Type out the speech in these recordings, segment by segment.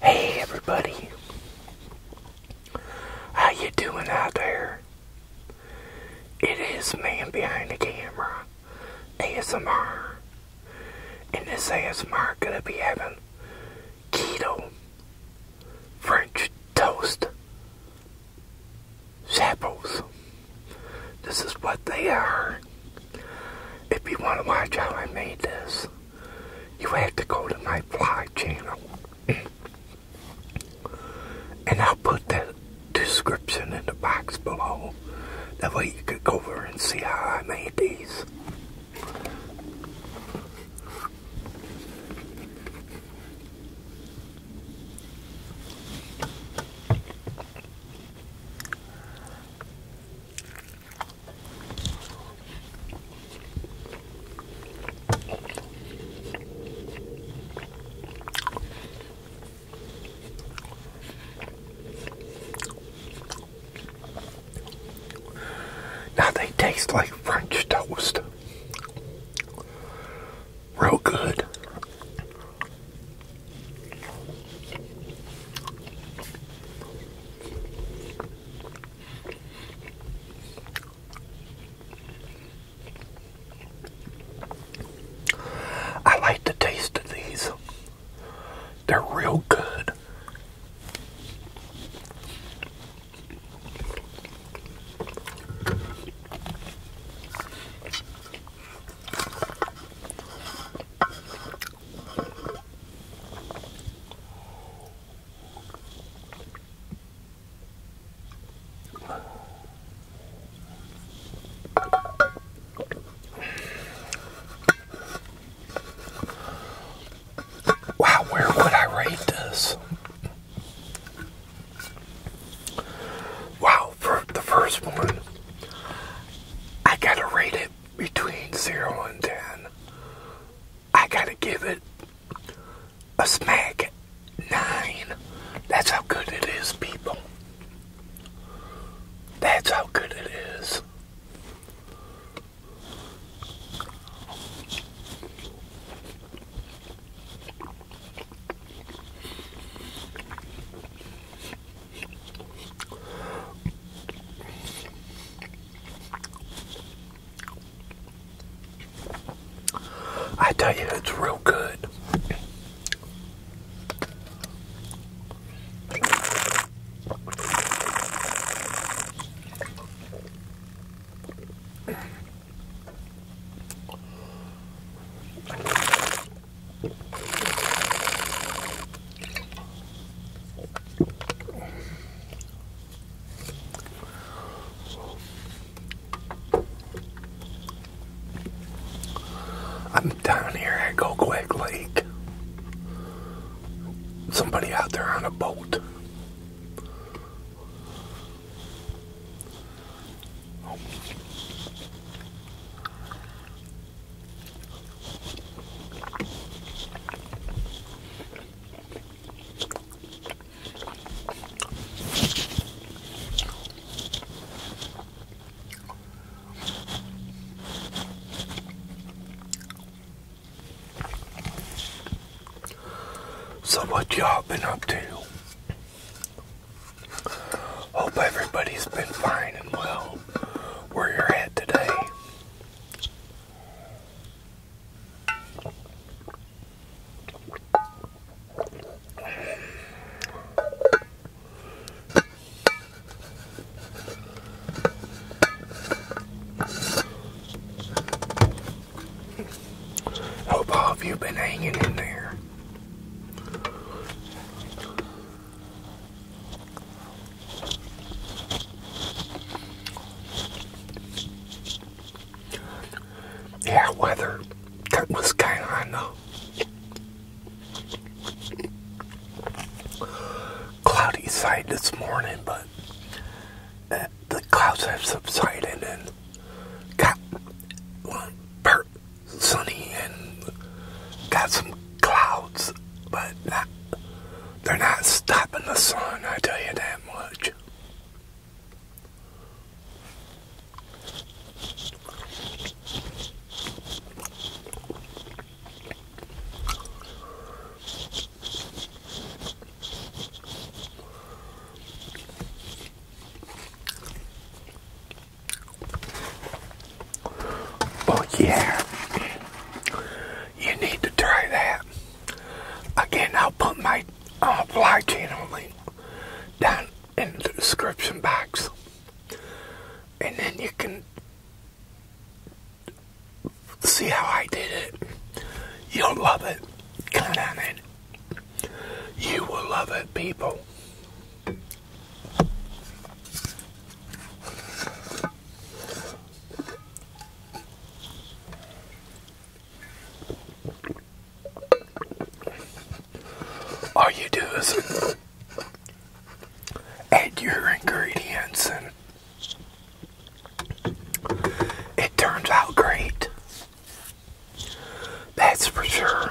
Hey everybody. How you doing out there? It is man behind the camera. ASMR. And this ASMR gonna be having keto French toast chapels. This is what they are. If you want to watch how I made this, you have to go to my fly channel. and I'll put that description in the box below. That way you could go over and see how I made these. Now they taste like French toast. Real good. I like the taste of these. They're real good. Wow, where would I rate this? Wow, for the first one, I gotta rate it between 0 and 10. I gotta give it a smack 9. That's how good it is, people. That's how good it is. I tell you, it's real good. I'm down here at Go Lake. Somebody out there on a boat. So what y'all been up to? Hope everybody's been fine and well where you're at today. Hope all of you been hanging in there. Yeah, weather was kind of on cloudy side this morning, but uh, the clouds have subsided and got well, sunny and got some clouds, but they're not stopping the sun, I tell you that much. Oh yeah, you need to try that. Again, I'll put my uh, fly channel link down in the description box, and then you can see how I did it. You'll love it. Count on it. You will love it, people. All you do is add your ingredients and it turns out great. That's for sure.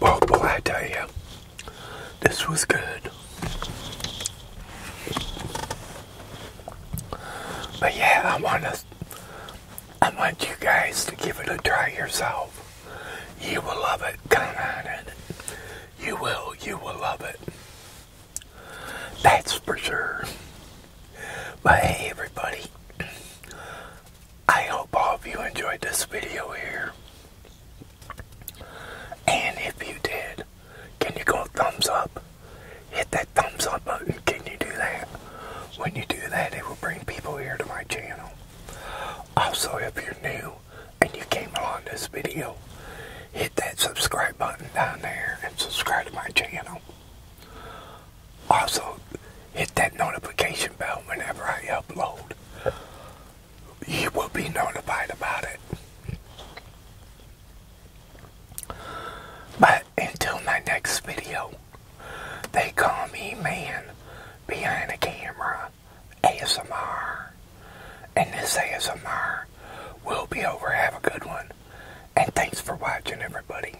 Well, oh, boy, I tell you, this was good. But yeah, I want to, I want you guys to give it a try yourself. You will love it. kinda. it. You will, you will love it. That's for sure. Bye, everybody, I hope all of you enjoyed this video here. And if you did, can you go thumbs up? Hit that thumbs up button. Can you do that? When you do that, it will bring people here to my channel. Also, if you're new and you came along this video, hit that subscribe button down there and subscribe to my channel. Also, hit that notification bell whenever I upload. You will be notified about it. But until my next video, they call me man behind the camera ASMR. And this ASMR will be over. Have a good one. And thanks for watching, everybody.